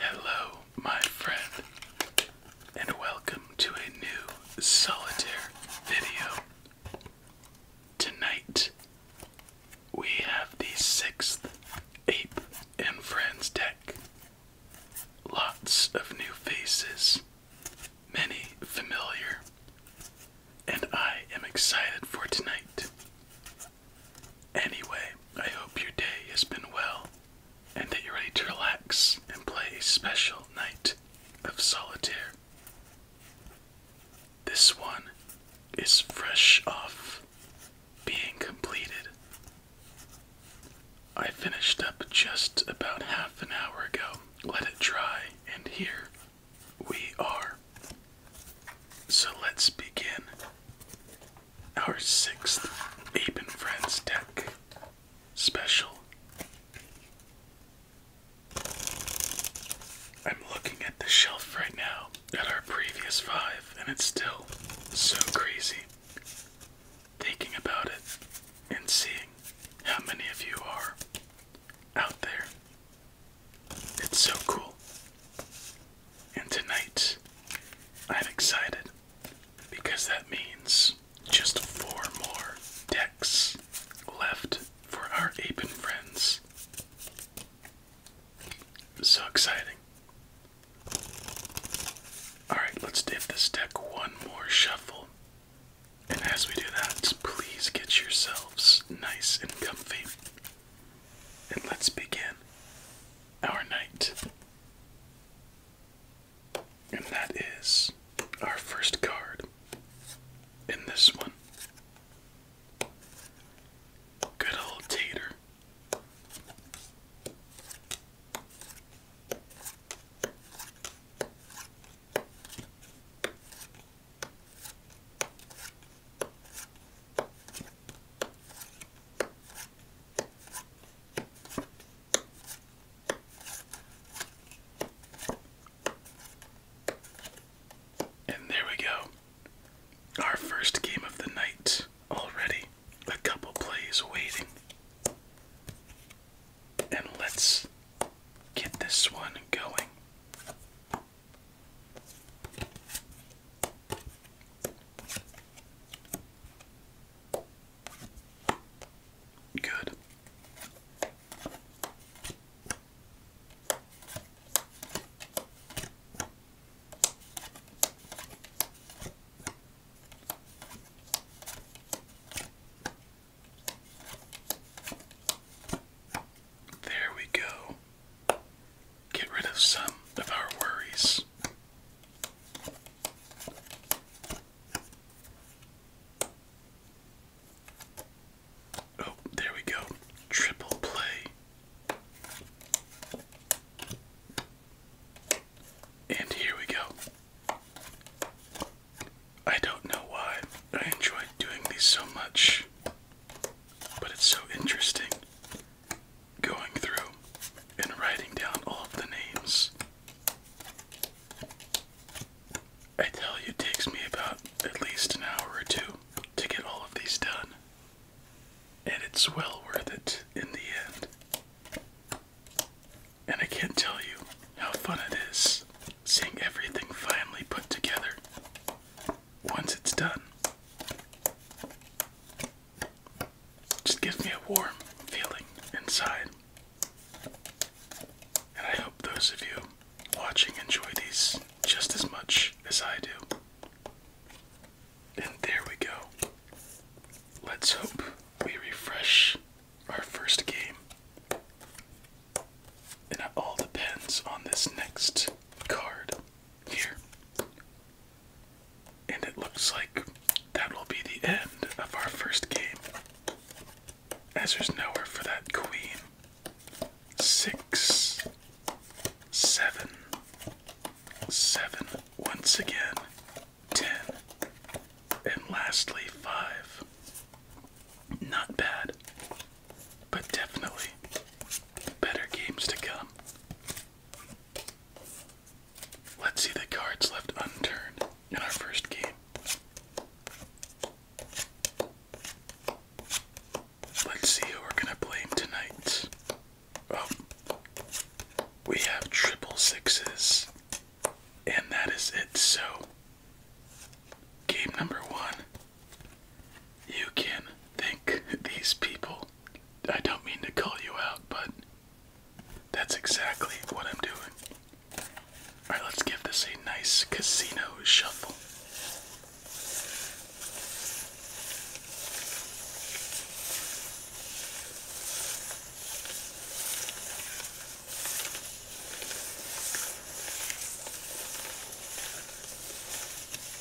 Hello, my friend, and welcome to a new solitaire video. Tonight, we have the sixth Ape and Friends deck. Lots of new faces, many familiar, and I am excited for tonight. Anyway, I hope your day has been well and that you're ready to relax and play a special night of solitaire. This one is fresh off being completed. I finished up just about half an hour ago, let it dry, and here we are. So let's begin our sixth Ape and Friends deck special. I'm looking at the shelf right now at our previous five, and it's still so crazy thinking about it and seeing how many of you are out there it's so cool. And tonight, I'm excited because that means just four more decks left for our Apen friends. So exciting. Alright, let's give this deck one more shuffle. And as we do that, please get yourselves nice and comfy and let's begin our night. And that is our first card in this one. Good old Tater. And there we go. Our first game of the night already. A couple plays waiting. And let's get this one going. Good. There we go get rid of some of our worries. Oh, there we go. Triple play. And here we go. I don't know why I enjoy doing these so much. But it's so interesting going through and writing down all of the names. I tell you, it takes me about at least an hour or two to get all of these done. And it's well worth it in the end. And I can't tell you how fun it is seeing everything finally put together once it's done. Just gives me a warm feeling inside. And I hope those of you watching enjoy these just as much as I do. And there we go. Let's hope we refresh our first game. And it all depends on this next card here. And it looks like that will be the end of our first game. As there's nowhere for that queen. Six, seven, seven, once again, ten, and lastly, five. Not bad but definitely better games to come. Let's see the cards left unturned in our first game. Let's see who we're gonna blame tonight. Oh, we have triple sixes, and that is it. So, game number one you can think these people, I don't mean to call you out, but that's exactly what I'm doing. Alright, let's give this a nice casino shuffle.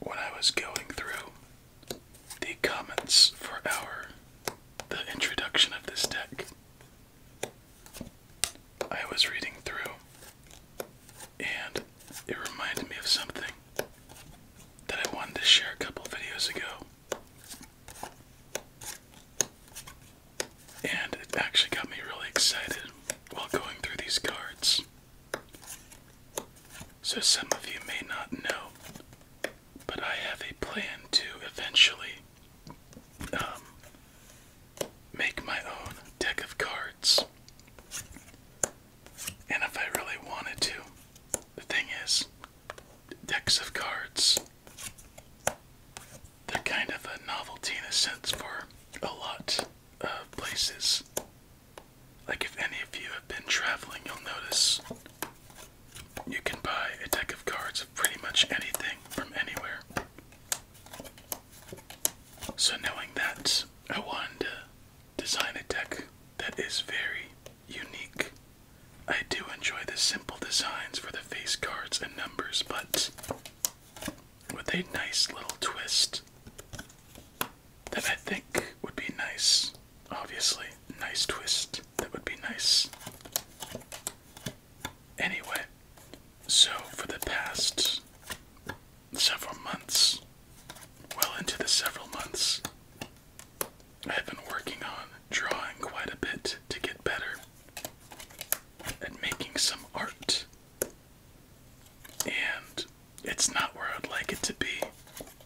What I was going through the comments for our the introduction of this deck. I was reading through and it reminded me of something that I wanted to share a couple videos ago. And it actually got me really excited while going through these cards. So, some of you may not know but I have a plan to eventually um, make my own deck of cards. And if I really wanted to, the thing is, decks of cards, they're kind of a novelty in a sense for a lot of places. Like, if any of you have been traveling, you'll notice you can buy a deck of cards of pretty much anything from anywhere. So, knowing that, I wanted to design a deck that is very unique. I do enjoy the simple designs for the face cards and numbers, but with a nice little twist that I think would be nice obviously. Nice twist. That would be nice. Anyway, so for the past several months, well into the several months, I've been working on drawing quite a bit to get better at making some art. And it's not where I'd like it to be,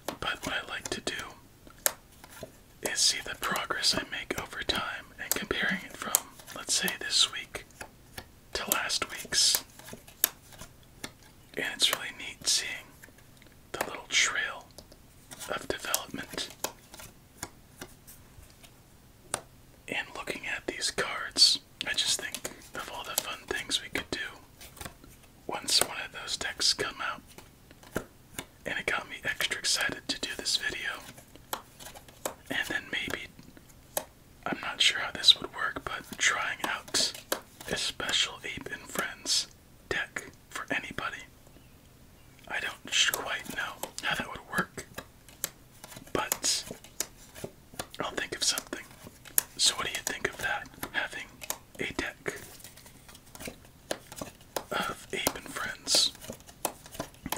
but what I like to do is see the progress I make over time and comparing it from, let's say, this week to last week's. And it's really neat seeing the little trail of development. And looking at these cards, I just think of all the fun things we could do once one of those decks come out and it got me extra excited to do this video. And then maybe, I'm not sure how this would work, but trying out this special Ape and Friends deck for anybody. I don't quite know how that would work, but I'll think of something. So, what do you think of that? Having a deck of Ape and Friends.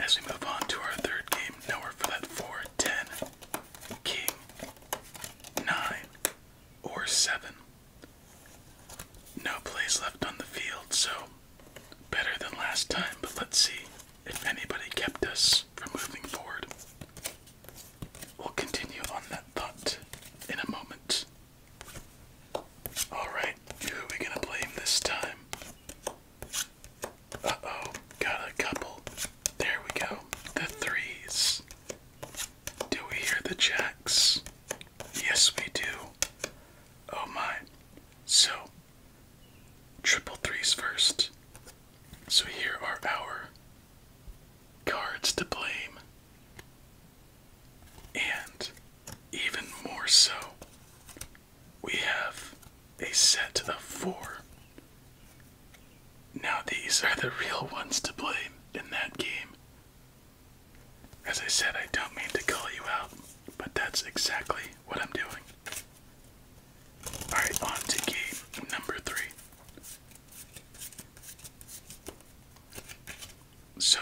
As we move on to our third game, nowhere for that 4, 10, King, 9, or 7. No plays left on the field, so better than last time, but let's see if anybody kept us from moving forward. We'll continue on that thought in a moment. Alright, who are we gonna blame this time? Uh oh, got a couple. There we go. The threes. Do we hear the jacks? Yes, we do. Oh my. So, triple threes first. So, here are our cards to blame. And even more so, we have a set of four. Now, these are the real ones to blame in that game. As I said, I don't mean to call you out, but that's exactly what I'm doing. Alright, on to game number three. So,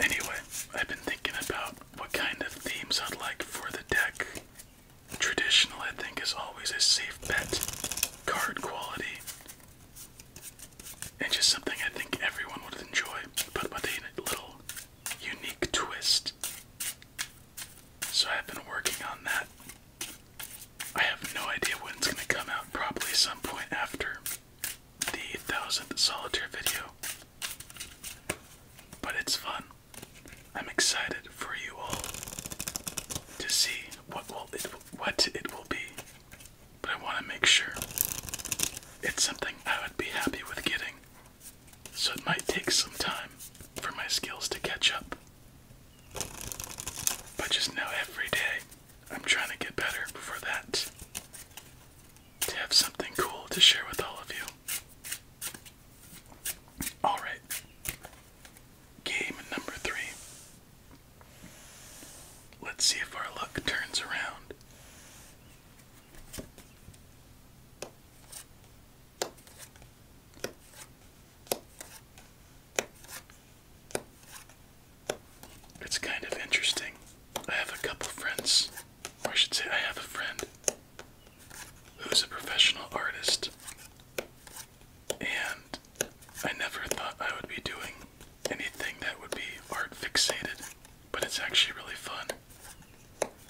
anyway, I've been thinking about what kind of themes I'd like for the deck. Traditional, I think, is always a safe bet, card quality, and just something I think everyone would enjoy, but with a little unique twist. So, I've been working on that. I have no idea when it's going to come out, probably some point after the thousandth solitaire video. But it's fun. I'm excited for you all to see what will what it will be. But I want to make sure it's something I would be happy with getting. So it might take some time for my skills to catch up. But just know every day I'm trying to get better before that. To have something cool to share with all of you. Alright. Game number three. Let's see if our luck turns around. It's kind of interesting. I have a couple friends, or I should say, I have a friend who's a professional artist, and I never thought I would be doing anything that would be art fixated, but it's actually really fun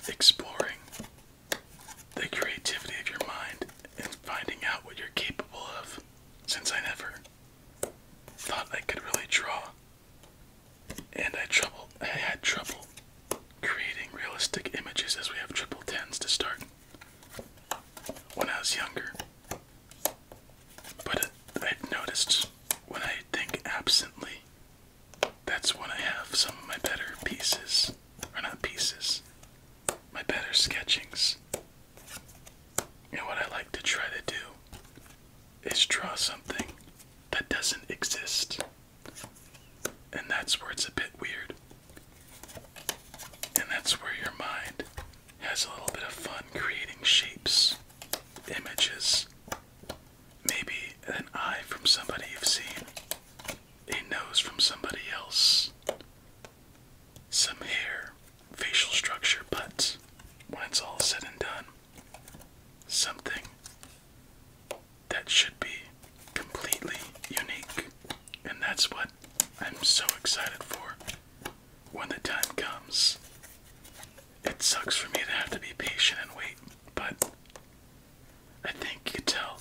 exploring the creativity of your mind and finding out what you're capable of since I never thought I could really draw, and I trouble I had trouble creating realistic images as we have triple tens to start when I was younger. But i noticed when I think absently, that's when I have some of my better pieces, or not pieces, my better sketchings. And what I like to try to do is draw something that doesn't exist. And that's where it's a bit weird. And that's where your mind has a little bit of fun creating shapes, images, maybe an eye from somebody you've seen, a nose from somebody else, some hair facial structure, but when it's all said and done, something that should be completely unique. And that's what I'm so excited for when the time comes. It sucks for me to have to be patient and wait, but I think you can tell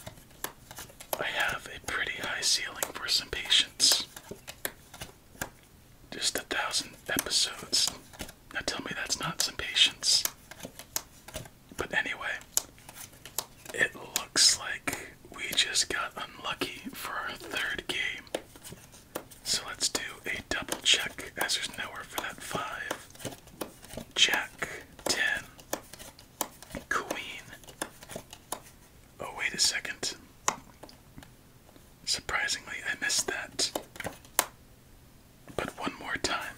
I have a pretty high ceiling for some patience. Just a thousand episodes. Now tell me that's not some patience. But anyway, it looks like we just got unlucky for our third game. So let's do a double check as there's nowhere for that five. Jack, 10, Queen. Oh, wait a second. Surprisingly, I missed that. But one more time.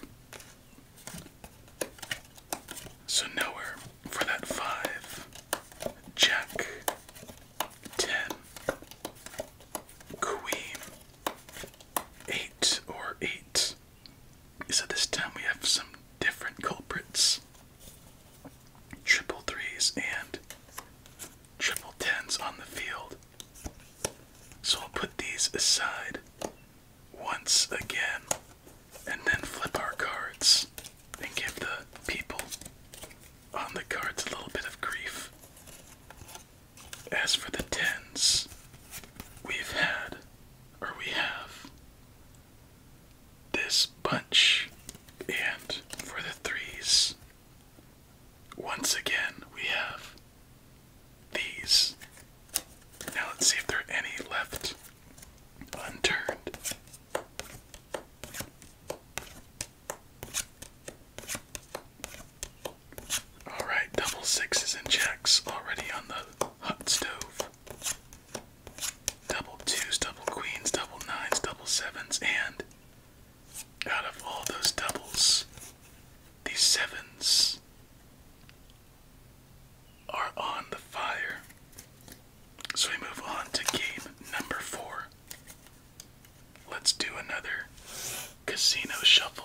So nowhere for that five. Jack. Ten. Queen. Eight or eight. So this time we have some different culprits. Triple threes and triple tens on the field. So I'll put these aside once again and then flip our cards and give the people on the cards a little bit of grief. As for the tens, we've had, or we have, this bunch, and for the threes, once again, we have these. Now let's see if there are any left unturned. Alright, double sixes and jacks already on the hot stove. Double twos, double queens, double nines, double sevens, and out of all those doubles, the sevens are on the fire. So we move on to game number four. Let's do another casino shuffle.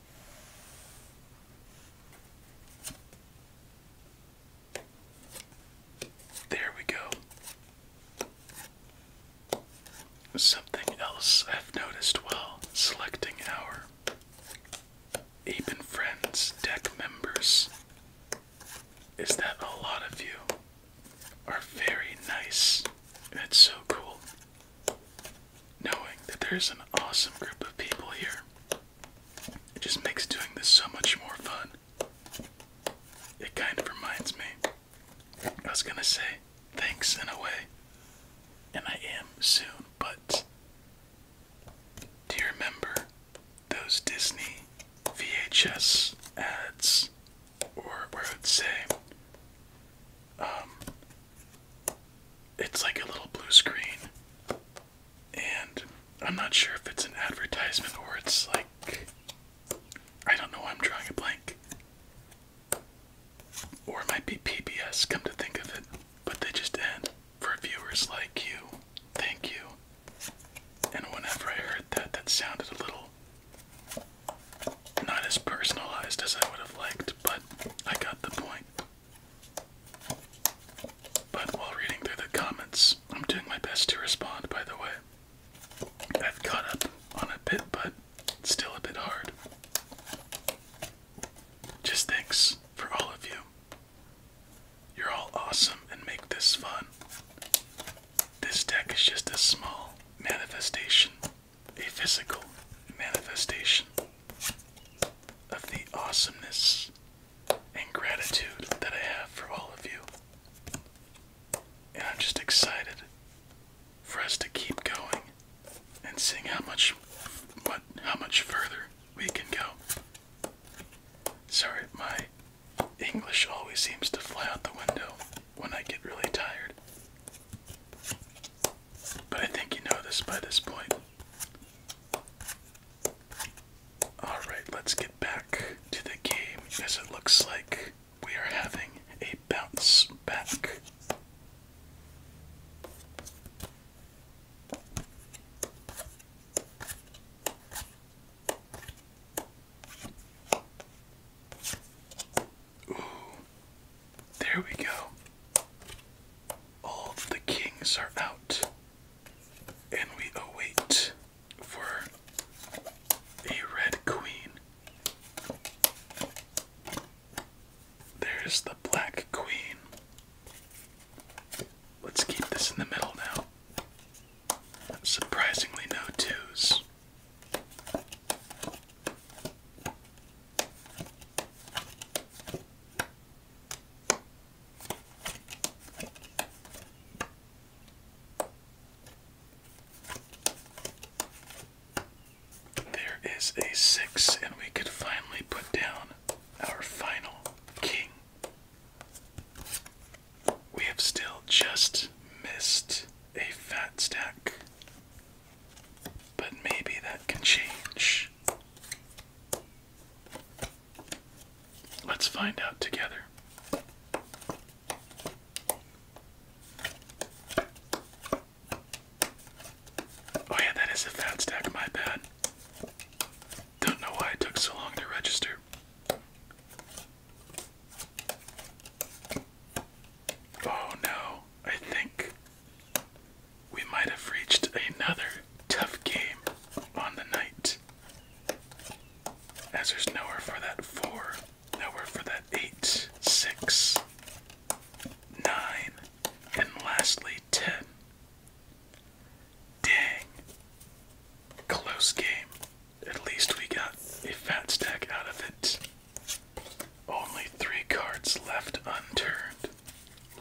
There we go. Something else I've noticed while selecting our Ape and Friends deck members is that a lot of you are very nice. That's so cool knowing that there's an awesome group of people here. It just makes doing this so much more fun. It kind of reminds me. I was gonna say thanks in a way, and I am soon, but do you remember those Disney VHS ads? Or where I would say um, it's like a little blue screen, and I'm not sure if it's an advertisement or it's like I don't know. I'm drawing a blank, or it might be PBS. Come to think of it, but they just end for viewers like you. Thank you. And whenever I heard that, that sounded a little not as personalized as I would have liked, but I got the point. But while reading through the comments, I'm doing my best to respond, by the way. I've caught up on a bit, but it's still a bit hard. Just thanks for all of you. You're all awesome and make this fun. This deck is just a small manifestation a physical manifestation of the awesomeness and gratitude that I have for all of you. And I'm just excited for us to keep going and seeing how much what how much further we can go. Sorry, my English always seems to fly out the window when I get really tired. But I think you know this by this point. Alright, let's get back to the game as it looks like we are having a bounce back. Ooh. There we go. All the kings are out. And we await for a red queen. There's the black queen. Let's keep this in the middle now. Surprisingly, no twos. There is a six, and we could finally put down our final king. We have still just missed a fat stack. But maybe that can change. Let's find out together. Oh, yeah, that is a fat stack, my bad. Don't know why it took so long to register. Oh no, I think we might have reached another tough game on the night. As there's nowhere for that four, nowhere for that eight, six, nine, and lastly ten. Dang. Close game. At least we got a fat stack out of it. Only three cards left unturned.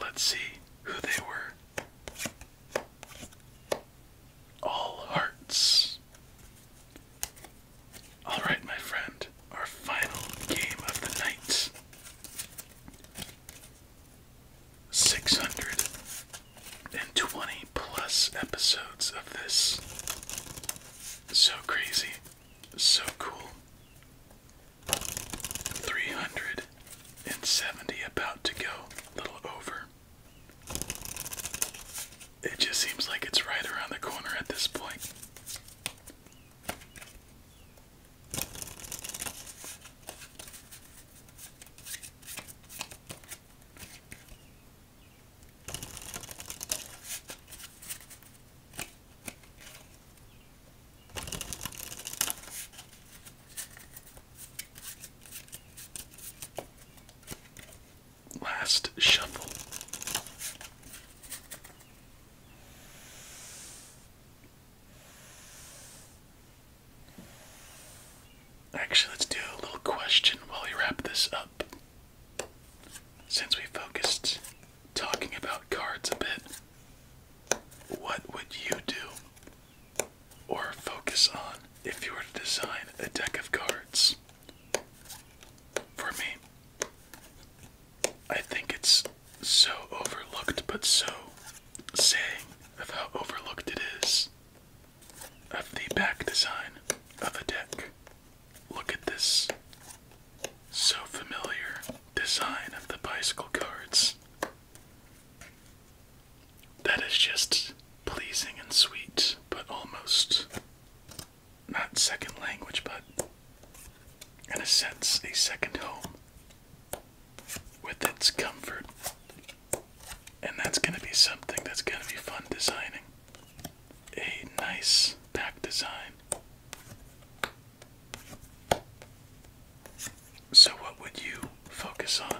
Let's see who they were. All hearts. Alright, my friend, our final game of the night. 620 plus episodes of this. So crazy. So cool. 370 about to go, a little over. It just seems like it's right around the corner at this point. Last shuffle. Actually, let's do a little question while we wrap this up. Since we focused talking about cards a bit, what would you do or focus on if you were to design a deck of cards? For me, I think it's so overlooked, but so saying of how overlooked it is of the back design of a deck. Look at this so familiar design of the bicycle cards. That is just pleasing and sweet, but almost not second language, but in a sense, a second home with its comfort. And that's going to be something that's going to be fun designing a nice pack design. So, what would you focus on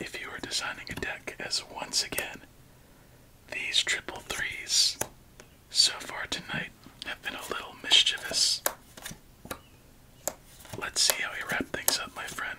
if you were designing a deck? As once again, these triple threes so far tonight have been a little mischievous. Let's see how we wrap things up, my friend.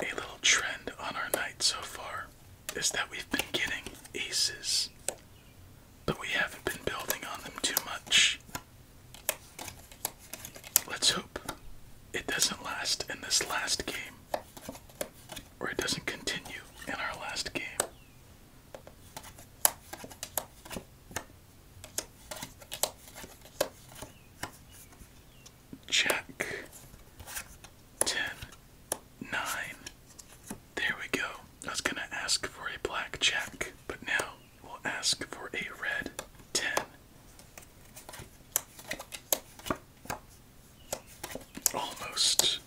A little trend on our night so far is that we've been getting aces, but we haven't been building on them too much. Let's hope it doesn't last in this last game, or it doesn't continue in our last game. Check Ten. There we go. I was gonna ask for a black jack, but now we'll ask for a red ten. Almost.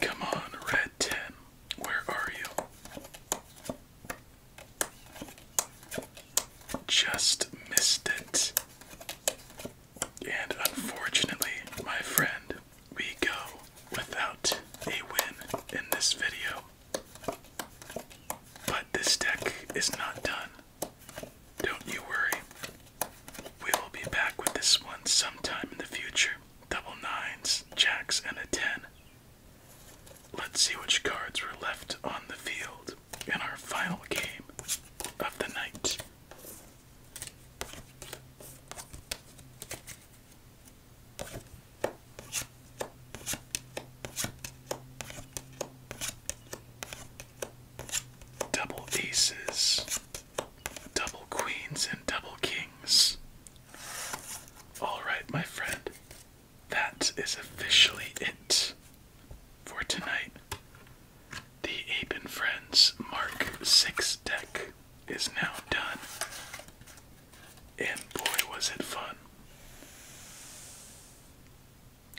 Come on, red ten. Where are you? Just missed it. And unfortunately, my friend, we go without a win in this video. But this deck is not done. Don't you worry. We will be back with this one sometime in the future. Double nines, jacks, and a ten. Let's see which cards were left on the field in our final game of the night. Double aces, double queens, and double kings. All right, my friend, that is officially it for tonight. The Ape and Friends Mark 6 deck is now done. And boy, was it fun!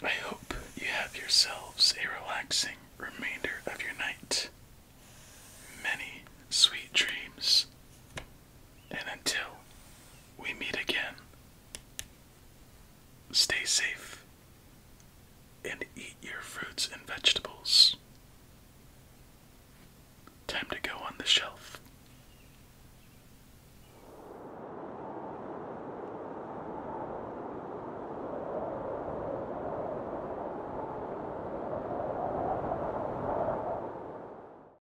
I hope you have yourselves a relaxing remainder of your night. Many sweet dreams. And until we meet again, stay safe and eat your fruits and vegetables. Time to go on the shelf.